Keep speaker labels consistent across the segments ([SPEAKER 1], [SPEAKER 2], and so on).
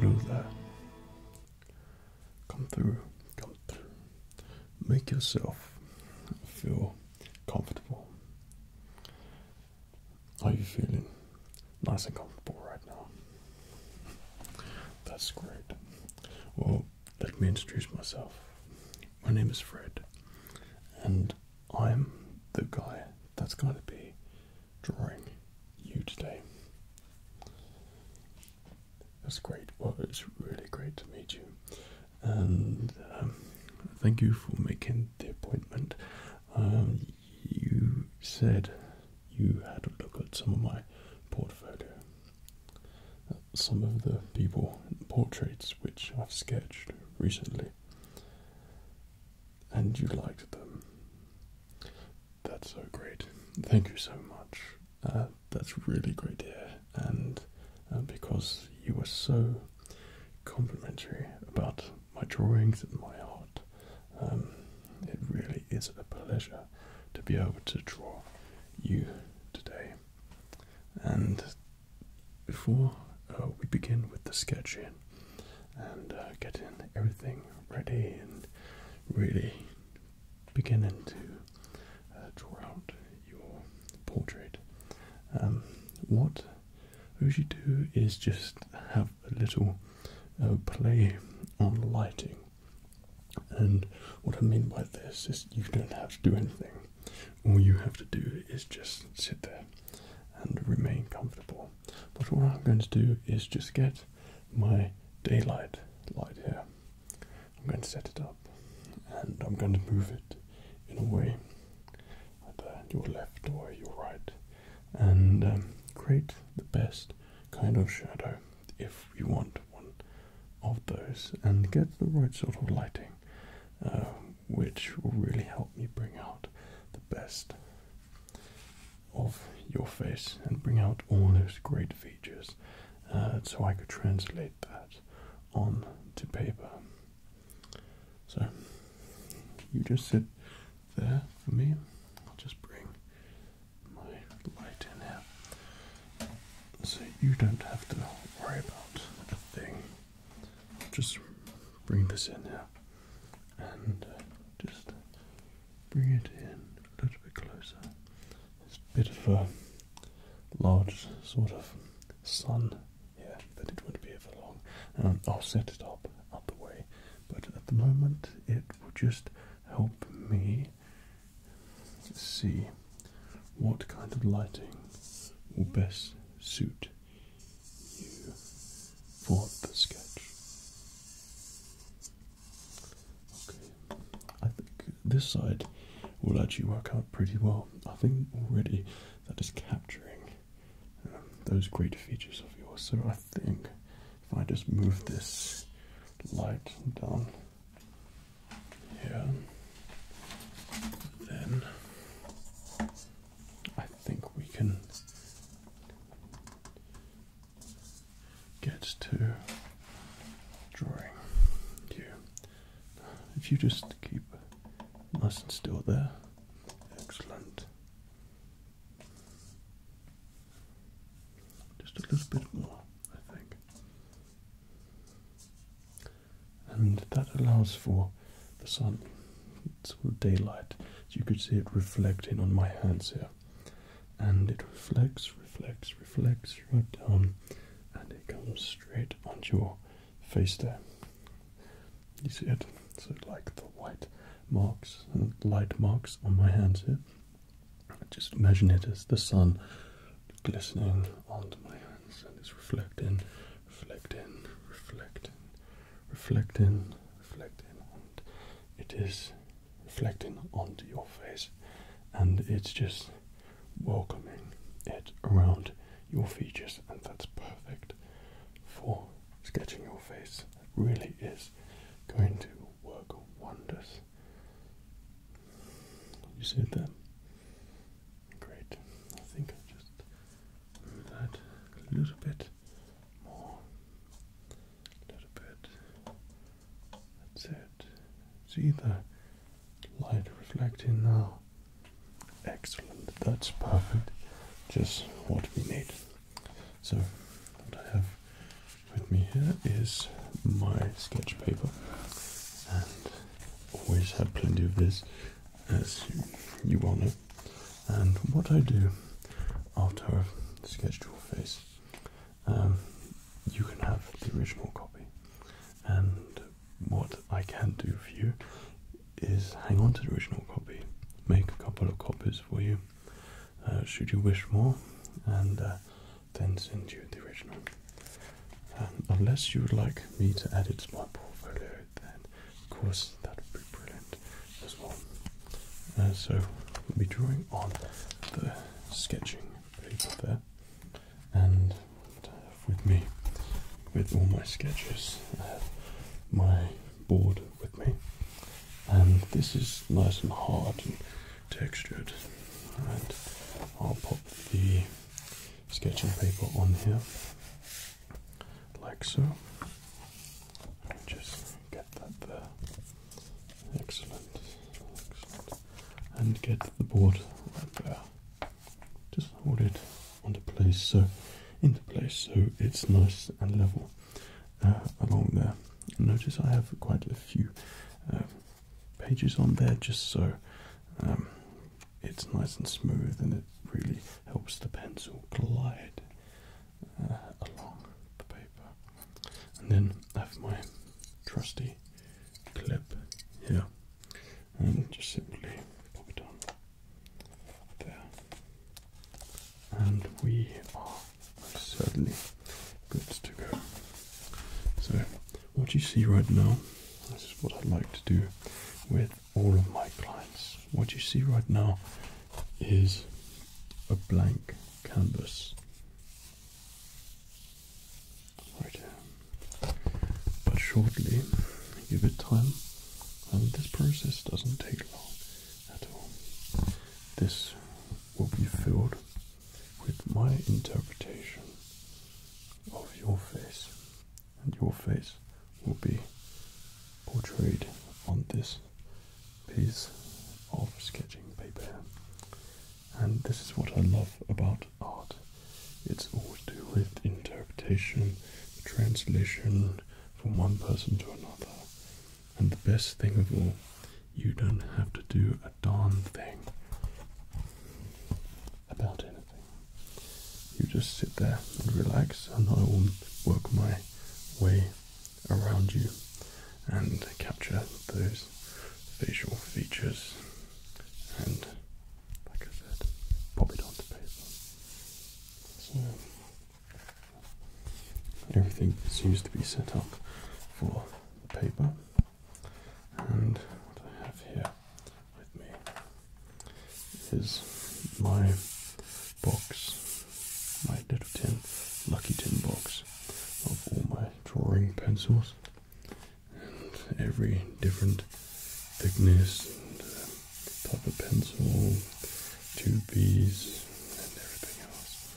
[SPEAKER 1] Lula, uh, come through, come through. Make yourself feel comfortable. Are you feeling nice and comfortable right now? That's great. Well, let me introduce myself. My name is Fred, and I'm the guy that's going to be drawing you today. That's great. Well, it's really great to meet you, and um, thank you for making the appointment. Um, you said you had a look at some of my portfolio, some of the people portraits which I've sketched recently and you liked them. That's so great. Thank you so much. Uh, that's really great dear. And uh, because you were so complimentary about my drawings and my art, um, it really is a pleasure to be able to draw you today. And before uh, we begin with the sketching and uh, getting everything ready and really beginning to uh, draw out your portrait, um, what I should do is just have a little uh, play on lighting. And what I mean by this is you don't have to do anything all you have to do is just sit there and remain comfortable. But what I'm going to do is just get my daylight light here. I'm going to set it up and I'm going to move it in a way either uh, your left or your right and um, create the best kind of shadow if you want one of those and get the right sort of lighting uh, which will really help me bring out the best of your face and bring out all those great features uh, so I could translate that on to paper. So you just sit there for me. I'll just bring my light in here so you don't have to worry about a thing just bring this in now and uh, just bring it in a little bit closer. It's a bit of a large sort of sun here, but it will not be here for long. Um, I'll set it up out the way, but at the moment it will just help me see what kind of lighting will best suit you for the sketch. Okay, I think this side will actually work out pretty well. I think already that is capturing um, those great features of yours. So I think if I just move this light down here. Then I think we can get to drawing you. If you just keep nice and still there, excellent. Just a little bit more, I think and that allows for the sun, sort of daylight. So you could see it reflecting on my hands here, and it reflects, reflects, reflects right down, and it comes straight onto your face there. You see it? So like the white marks and uh, light marks on my hands here. Just imagine it as the sun glistening onto my hands and it's reflecting, reflect in, reflect in, reflect in, reflect in, and it is reflecting onto your face, and it's just welcoming it around your features, and that's perfect for sketching your face. It really is going to work wonders. You see it there? Great. I think i just move that a little bit more. A little bit. That's it. See the light reflecting now. Excellent. That's perfect. Just what we need. So, what I have with me here is my sketch paper, and always have plenty of this as you want it, And what I do after I've sketched your face, um, you can have the original copy. And what I can do for you is hang on to the original copy, make a couple of copies for you, uh, should you wish more, and uh, then send you the original unless you would like me to add it to my portfolio, then of course that would be brilliant as well. Uh, so we'll be drawing on the sketching paper there, and uh, with me, with all my sketches, I uh, have my board with me, and this is nice and hard and textured. And I'll pop the sketching paper on here, like so. Just get that there. Excellent. And get the board right there. Just hold it onto place so into place so it's nice and level uh, along there. Notice I have quite a few uh, pages on there just so um, it's nice and smooth and it really helps the pencil glide uh, along the paper. And then I have my trusty clip here and just simply pop it on there. And we are certainly good to go. So, what you see right now, this is what I like to do with all of my clients. What you see right now is a blank canvas. Right here. Um, but shortly, give it time, and this process doesn't take long at all. This will be filled with my interpretation of your face and your face will be portrayed on this piece of sketching paper. And this is what I love about art. It's all to do with interpretation, translation from one person to another. And the best thing of all, you don't have to do a darn thing about it. You just sit there and relax, and I will work my way around you and capture those facial features and, like I said, pop it onto paper. So, everything seems to be set up for the paper, and what I have here with me is my box, my little tin, lucky tin box of all my drawing pencils and every different thickness uh, type of pencil, 2Bs and everything else.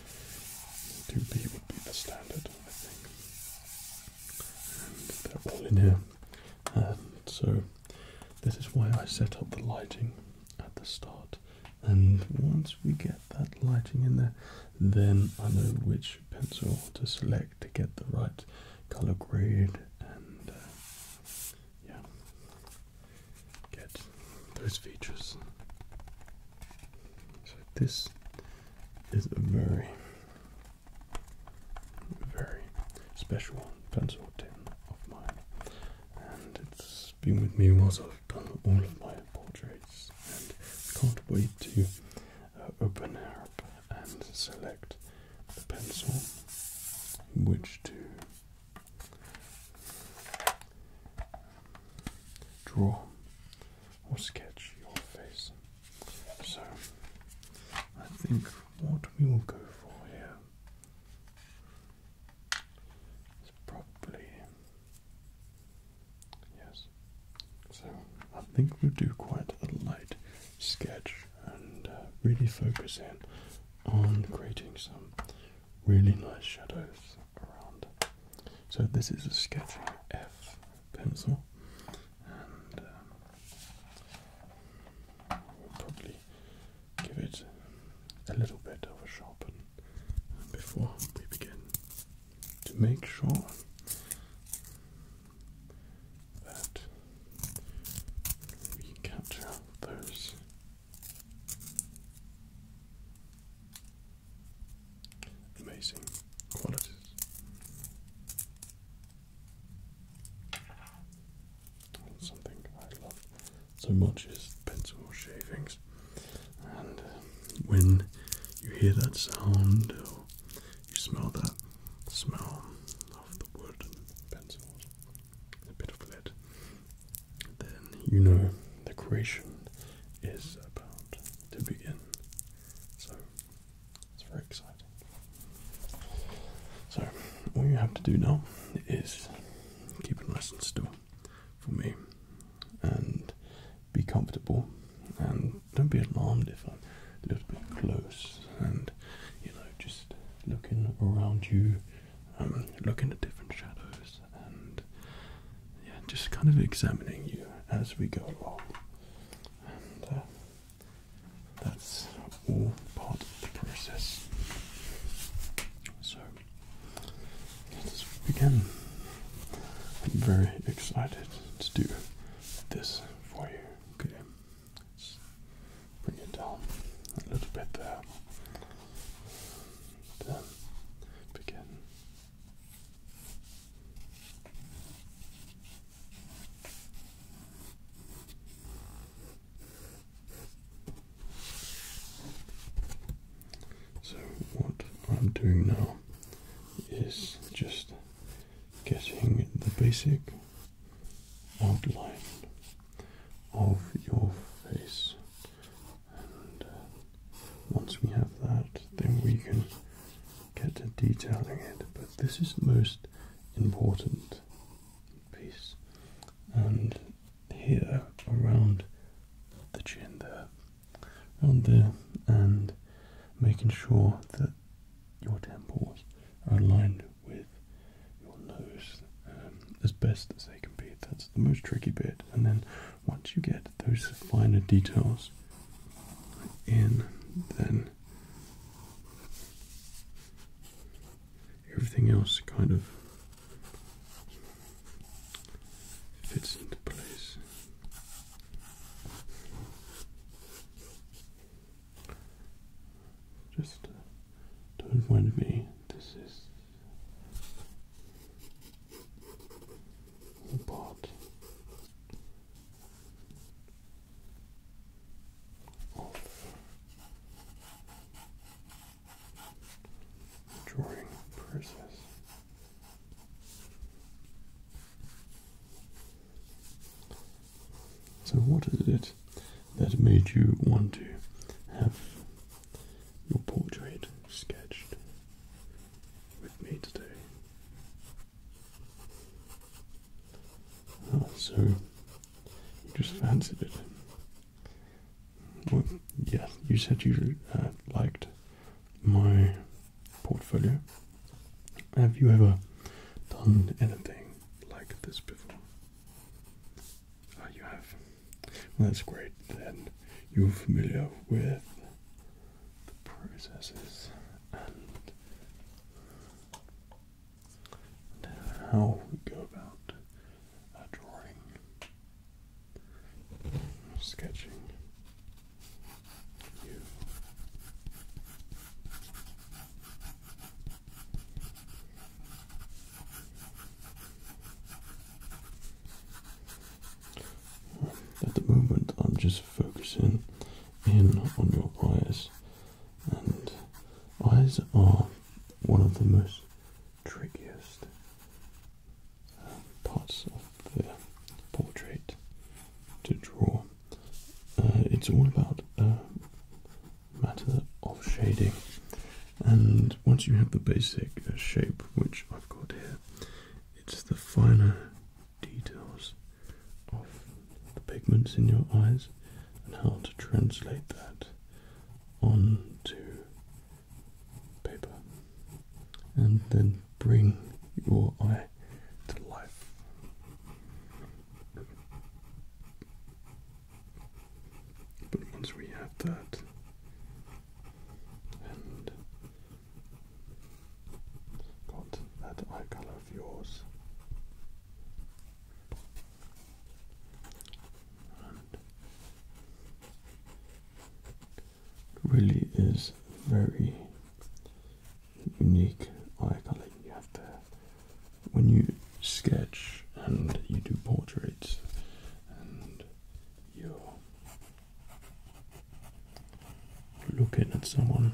[SPEAKER 1] 2B would be the standard, I think. they're all in here. Um, so this is why I set up the lighting at the start. And once we get that lighting in there, then I know which pencil to select to get the right color grade and uh, yeah, get those features. So this is a very very special pencil tin of mine, and it's been with me whilst I've done all of my portraits, and can't wait to uh, open it up and select the pencil which to draw or sketch your face. So I think what we will go for here is probably yes. So I think we'll do quite a light sketch and uh, really focus in on creating some really nice shadows around. So this is a sketching F pencil, and um, We'll probably give it a little bit of a sharpen before we begin to make sure that we capture those amazing qualities. Something I love so much is pencil shavings, and um, when you hear that sound or you smell that smell of the wood and pencils, a bit of lead, then you know the creation is about to begin. So it's very exciting. So, all you have to do now is keep it nice and still for me and be comfortable and don't be alarmed if i look a bit close and you know, just looking around you, um, looking at different shadows and yeah, just kind of examining you as we go along. And uh, that's all part of the process. So let us begin. I'm very excited to do this for you. Okay. Let's bring it down a little bit there. Then begin. So, what I'm doing now is just getting the basic outline of your face, and uh, once we have that, then we can get to detailing it. But this is the most important piece. And here around the chin there, around there, and making sure that your temples are aligned with your nose um, as best as they can be. That's the most tricky bit. And then once you get those finer details in, then everything else kind of fits into place. Just uh, don't mind me. This is all part drawing process. So, what is it that made you want to have your portrait sketched with me today? Oh, so you just fancied it. Well, yeah, you said you uh, liked my portfolio. Have you ever done anything like this before? Oh, you have. Well, that's great. Then you're familiar with the processes how we go about drawing, sketching you. At the moment, I'm just focusing in on your eyes and eyes are one of the most trickiest um, parts of the portrait to draw. Uh, it's all about a um, matter of shading. And once you have the basic shape, which I've got here, it's the finer details of the pigments in your eyes and how to translate that onto paper and then bring your eye to life. But once we have that and got that eye colour of yours really is very unique eye colour you have there. When you sketch and you do portraits and you're looking at someone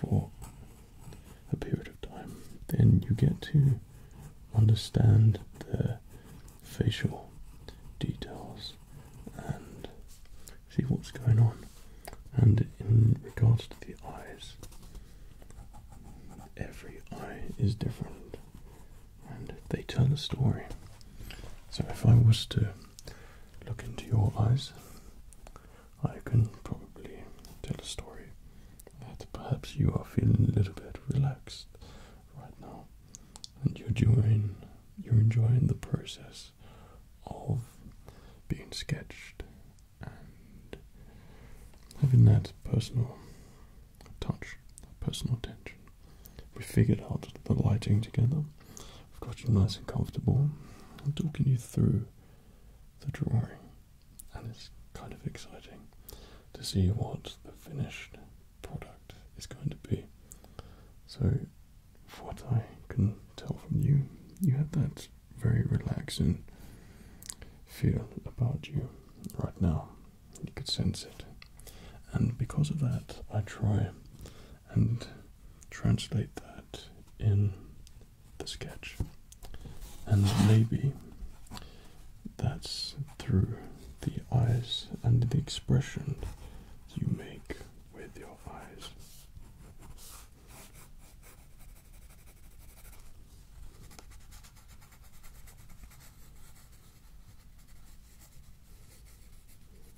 [SPEAKER 1] for a period of time, then you get to understand the facial details and see what's going on. And in regards to the eyes, every eye is different and they tell a story. So if I was to look into your eyes, I can probably tell a story that perhaps you are feeling a little bit relaxed right now and you're doing you're enjoying the process of being sketched and having that personal touch, personal attention. We figured out the lighting together. We've got you nice and comfortable. I'm talking you through the drawing, and it's kind of exciting to see what the finished product is going to be. So, what I can tell from you, you have that very relaxing feel about you right now. You could sense it, and because of that, I try and translate that in the sketch. And maybe that's through the eyes and the expression you make with your eyes.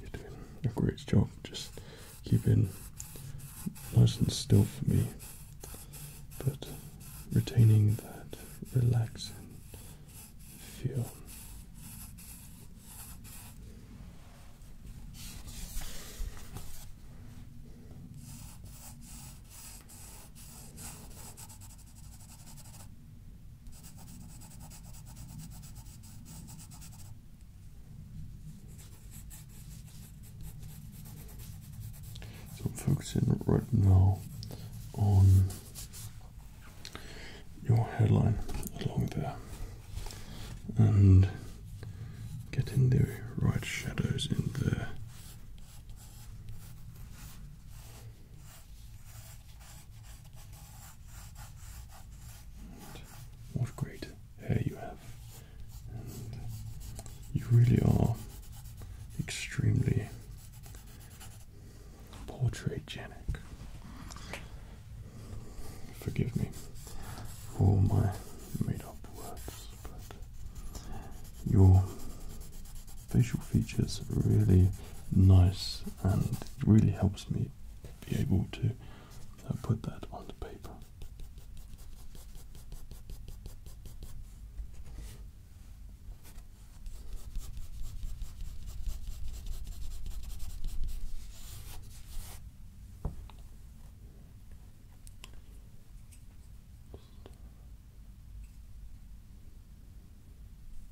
[SPEAKER 1] You're doing a great job. Just keeping nice and still for me, but retaining that relaxing feel. So I'm focusing right now on your headline along there and getting the right shadows in there. And what great hair you have. you really are extremely portraitgenic. Forgive me for all my made up words, but your facial features are really nice and it really helps me be able to and put that on the paper.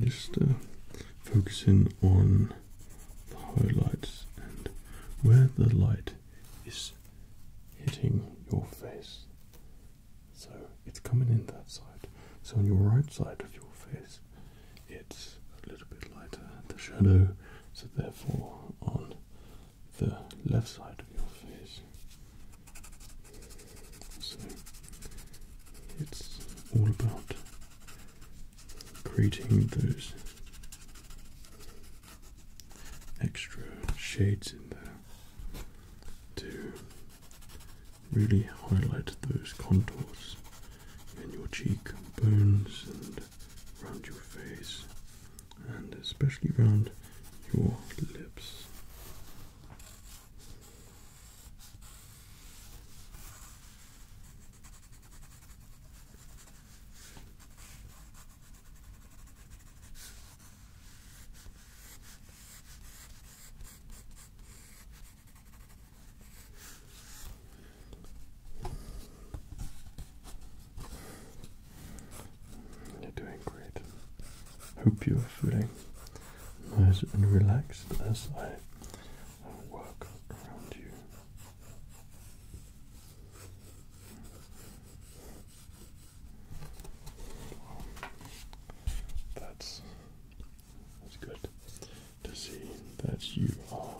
[SPEAKER 1] just uh, focusing on the highlights and where the light is hitting your face. So it's coming in that side. So on your right side of your face, it's a little bit lighter, the shadow. So therefore, on the left side of your face. So it's all about creating those extra shades in there to really highlight those contours in your cheekbones and around your face and especially around your lips. You're doing great. Hope you're feeling nice and relaxed as I work around you. that's that's good to see that you are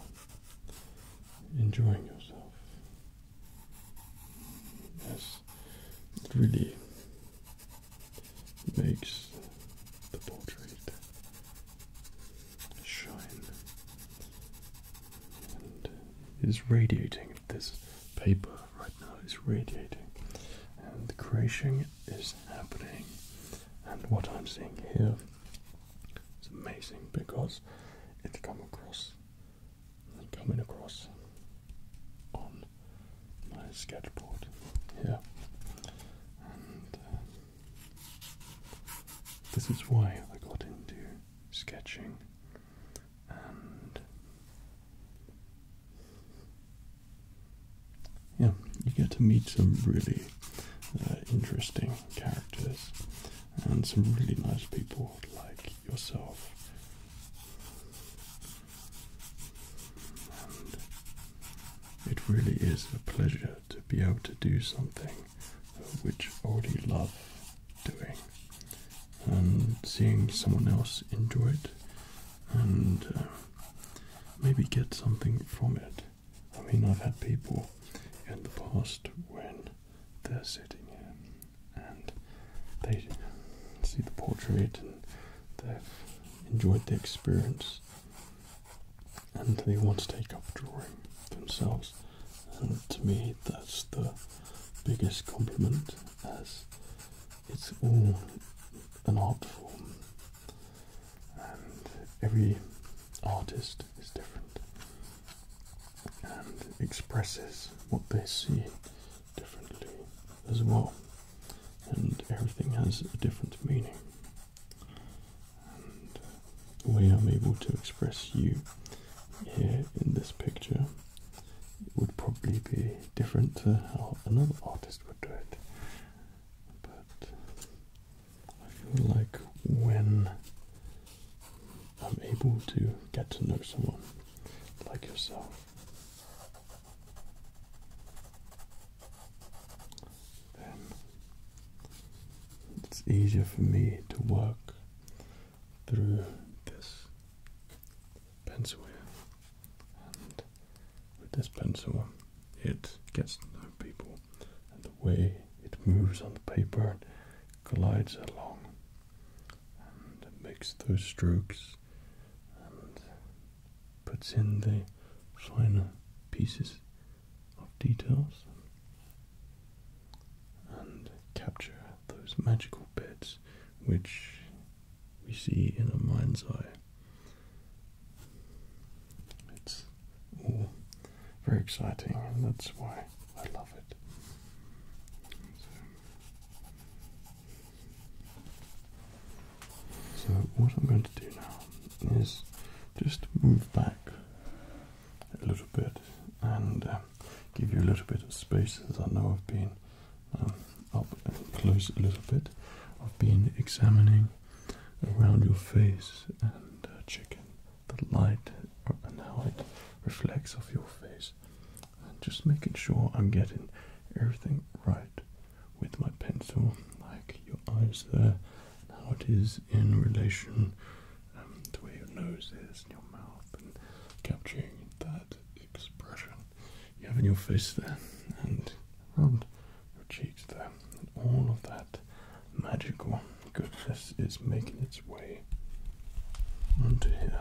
[SPEAKER 1] enjoying yourself. Yes, it really makes the portrait shine and is radiating. This paper right now is radiating, and the creation is happening. And what I'm seeing here is amazing because it's come across coming across on my sketchboard here. And uh, this is why I got into sketching and yeah, you get to meet some really uh, interesting characters and some really nice people like yourself it really is a pleasure to be able to do something which I already love doing. And seeing someone else enjoy it and uh, maybe get something from it. I mean, I've had people in the past when they're sitting here and they see the portrait and they've enjoyed the experience and they want to take up drawing themselves. And to me, that's the biggest compliment as it's all an art form and every artist is different and expresses what they see differently as well, and everything has a different meaning. And the way able to express you here in this picture it would probably be different how another artist would do it. But I feel like when I'm able to get to know someone like yourself. Then it's easier for me to work through this pencil And with this pencil, it gets to know people and the way it moves on the paper and glides along and makes those strokes and puts in the finer pieces of details and capture those magical bits which we see in a mind's eye. It's all very exciting and that's why I love it. So what I'm going to do now is just move back a little bit and uh, give you a little bit of space as I know I've been um, up close a little bit. I've been examining around your face and uh, checking the light uh, and how it reflects off your face. And just making sure I'm getting everything right with my pencil, like your eyes there, how it is in relation um, to where your nose is and your mouth, and capturing that expression you have in your face there and around your cheeks there, and all of that magical goodness is making its way onto here.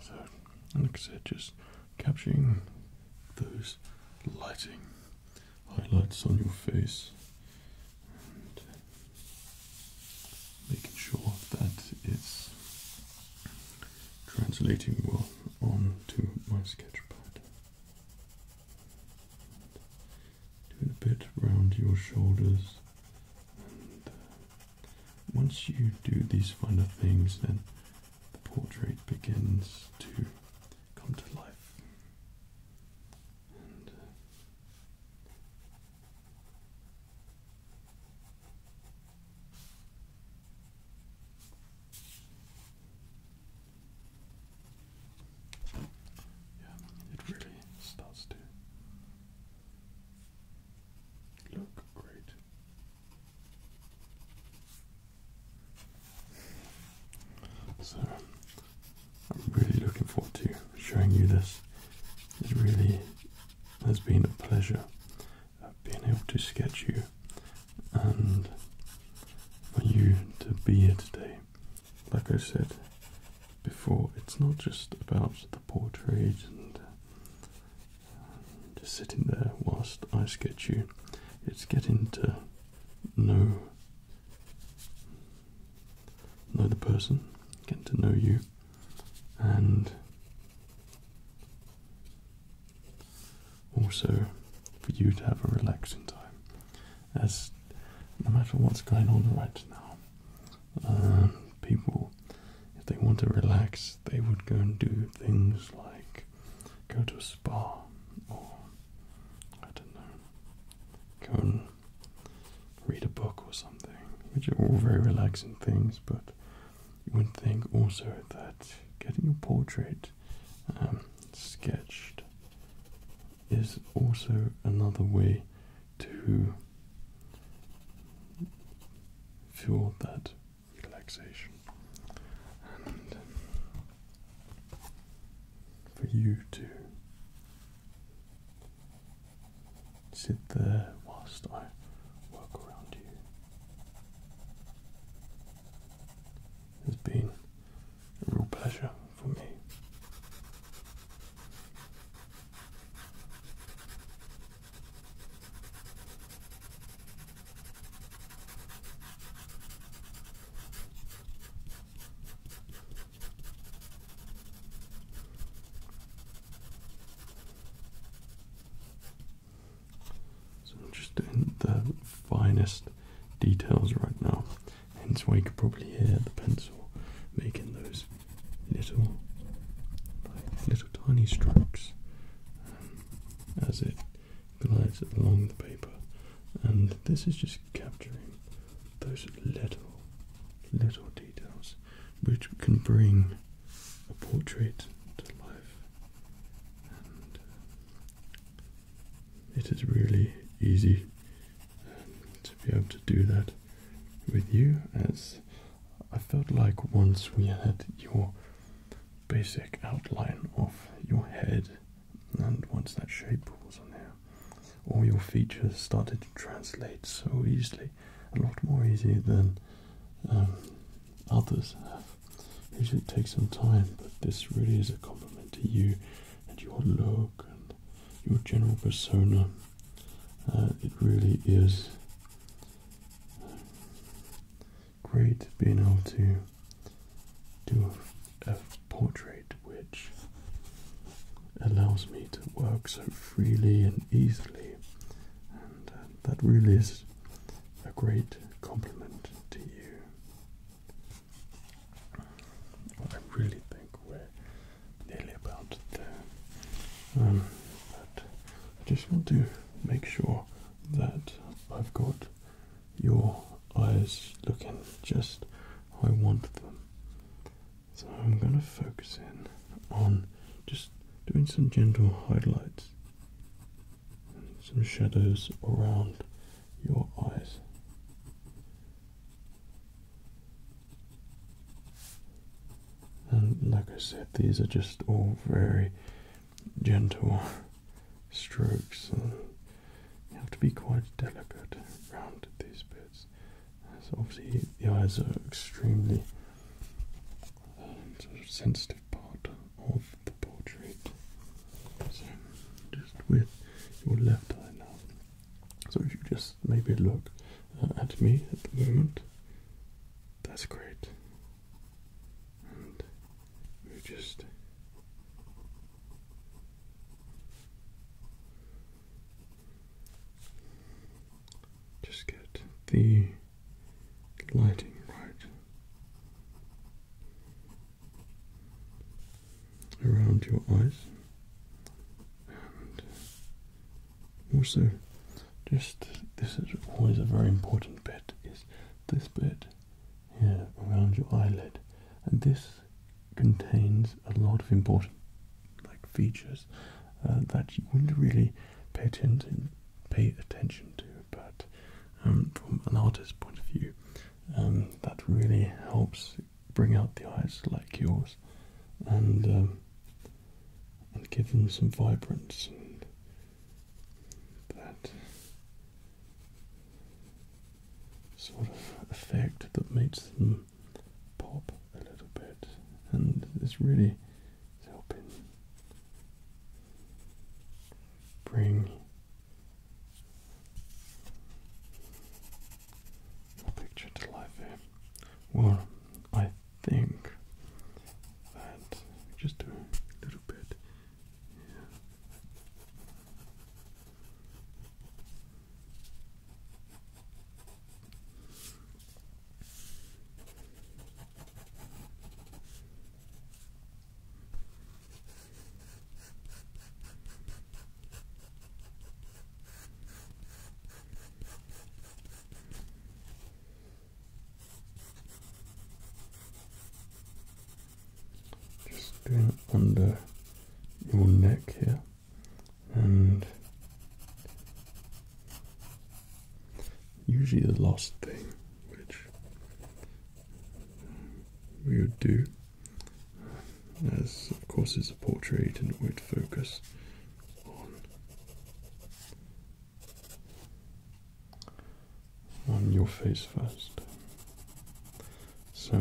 [SPEAKER 1] So, like I said, just capturing those lighting highlights on your face making sure that it's translating well onto my sketch pad. Do it a bit round your shoulders. And uh, once you do these finer things, then the portrait begins to come to life. Uh, yeah, it really starts to look great. So, I'm really looking forward to showing you this. It really has been a pleasure uh, being able to sketch you and for you to be here today. Like I said before, it's not just about the portrait and just sitting there whilst I sketch you. It's getting to know know the person, getting to know you and also for you to have a relaxing time. As no matter what's going on right now, um, people, if they want to relax, they would go and do things like go to a spa or I don't know, go and read a book or something, which are all very relaxing things, but you would think also that getting your portrait um, sketched is also another way to fuel that relaxation and for you to sit there whilst I work around you has been a real pleasure for me. So I'm just doing the finest details right now. Hence why you could probably hear the pencil making those little, little tiny strokes um, as it glides along the paper. And this is just capturing those little, little details which can bring a portrait to life. Uh, it is really easy um, to be able to do that with you as I felt like once we had your basic outline of your head and once that shape was on there all your features started to translate so easily a lot more easy than um, others it takes some time, but this really is a compliment to you and your look and your general persona. Uh, it really is uh, great being able to do a, portrait which allows me to work so freely and easily, and uh, that really is a great compliment to you. I really think we're nearly about there. Um, but I just want to make sure that I've got your eyes looking just how I want them. So I'm going to focus in on just doing some gentle highlights some shadows around your eyes. And like I said, these are just all very gentle strokes. And you have to be quite delicate around these bits. So obviously, the eyes are extremely um, sensitive part of the portrait. So just with your left eye now. So if you just maybe look uh, at me at the moment, that's great. We just just get the lighting right around your eyes and also just this is always a very important bit is this bit here around your eyelid and this contains a lot of important like features uh, that you wouldn't really pay attention to but um, from an artist's point of view. Um, that really helps bring out the eyes like yours and um, and give them some vibrance and that sort of effect that makes them pop a little bit and it's really helping bring picture to life here. Well, I think that just do a little bit. Yeah. Just doing it under your neck here and usually the last thing which we would do, as of course is a portrait and we'd focus on your face first. So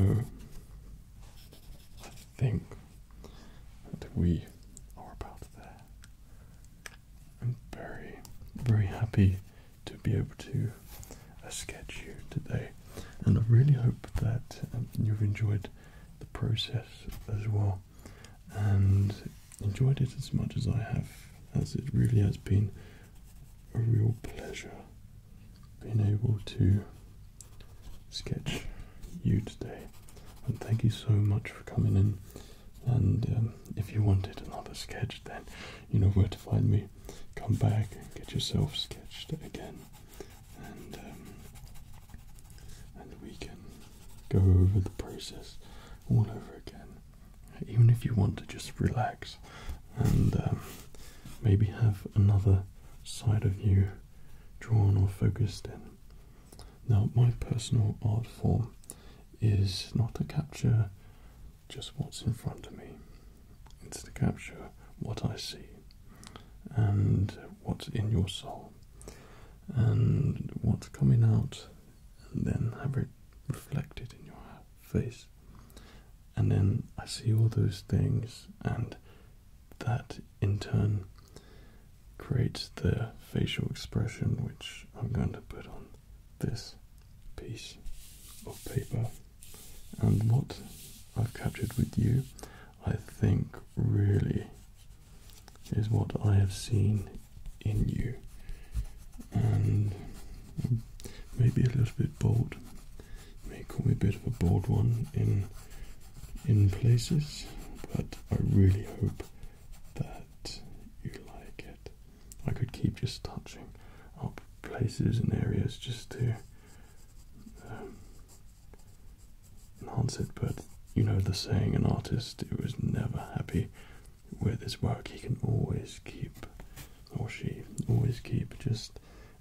[SPEAKER 1] I think that we are about there. I'm very, very happy to be able to uh, sketch you today. And I really hope that um, you've enjoyed the process as well and enjoyed it as much as I have, as it really has been a real pleasure being able to sketch you today. And thank you so much for coming in. And um, if you wanted another sketch, then you know where to find me come back and get yourself sketched again, and um, and we can go over the process all over again. Even if you want to just relax and um, maybe have another side of you drawn or focused in. Now, my personal art form is not to capture just what's in front of me. It's to capture what I see and what's in your soul and what's coming out, and then have it reflected in your face. And then I see all those things, and that in turn creates the facial expression which I'm going to put on this piece of paper and what I've captured with you I think really is what I have seen in you and maybe a little bit bold may call me a bit of a bold one in in places but I really hope that you like it I could keep just touching up places and areas just to um, enhance it, but you know the saying an artist who is never happy with his work, he can always keep, or she always keep just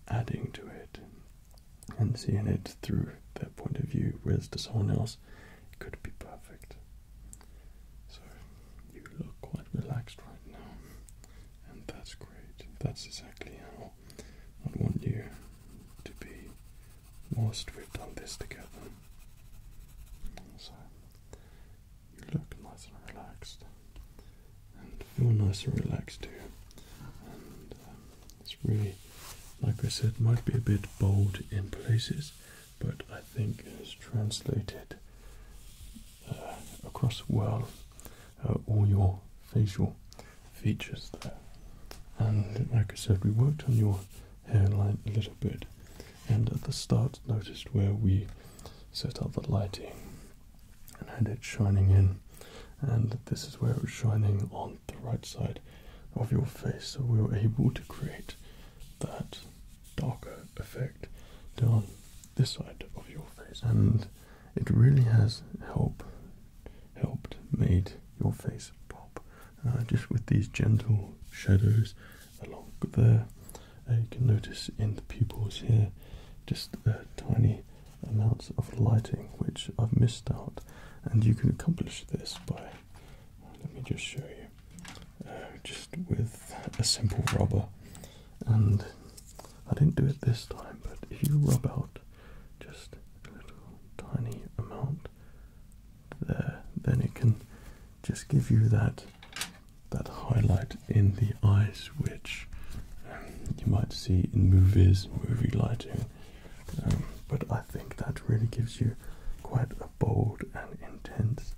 [SPEAKER 1] adding to it and seeing it through their point of view, whereas to someone else it could be perfect. So you look quite relaxed right now, and that's great. That's exactly how I want you to be whilst we've done this together. So you look nice and relaxed, and feel nice and relaxed too. And uh, it's really, like I said, might be a bit bold in places, but I think is translated uh, across the world. Uh, all your facial features there. And like I said, we worked on your hairline a little bit. And at the start, noticed where we set up the lighting and had it shining in. And this is where it was shining on the right side of your face. So we were able to create that darker effect down this side of your face and it really has helped, helped made your face pop uh, just with these gentle shadows along there uh, you can notice in the pupils here just tiny amounts of lighting which I've missed out and you can accomplish this by let me just show you uh, just with a simple rubber. And I didn't do it this time, but if you rub out just a little tiny amount there, then it can just give you that that highlight in the eyes, which um, you might see in movies, movie lighting. Um, but I think that really gives you quite a bold and intense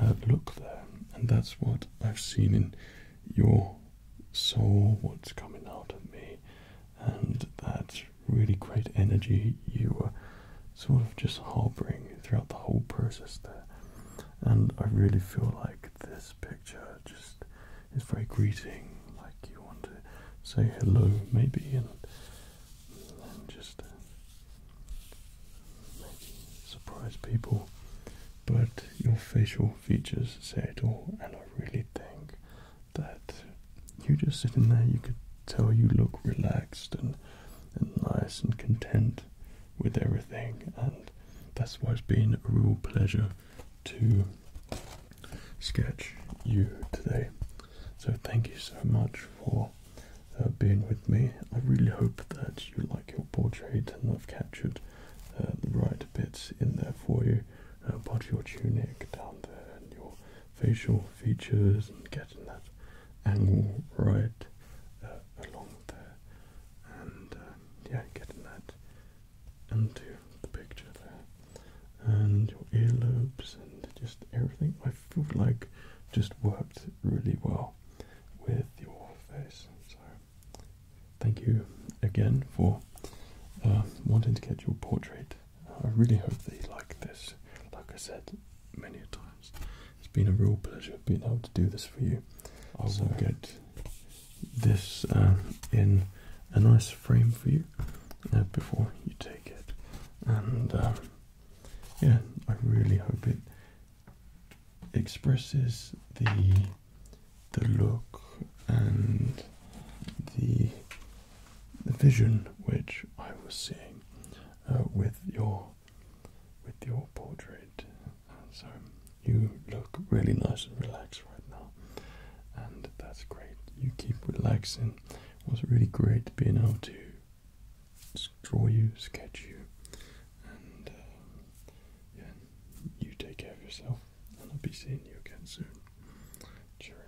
[SPEAKER 1] uh, look there, and that's what I've seen in your soul, what's coming out of me, and that really great energy you were sort of just harboring throughout the whole process there. And I really feel like this picture just is very greeting, like you want to say hello maybe and just surprise people, but your facial features say it all, and I really think that you just sitting there, you could tell you look relaxed and, and nice and content with everything, and that's why it's been a real pleasure to sketch you today. So, thank you so much for uh, being with me. I really hope that you like your portrait and I've captured uh, the right bits in there for you uh, part of your tunic down there and your facial features and getting that angle right along there and um, yeah, getting that into the picture there and your earlobes and just everything. I feel like just worked really well with your face. So, thank you again for uh, wanting to get your portrait. I really hope they like this. Like I said many times, it's been a real pleasure being able to do this for you. I will get this um, in a nice frame for you uh, before you take it, and um, yeah, I really hope it expresses the the look and the, the vision which I was seeing uh, with your with your portrait. So you look really nice and relaxed right now, and that's great. You keep relaxing. It was really great being able to draw you, sketch you, and uh, yeah, you take care of yourself, and I'll be seeing you again soon. Cheerio.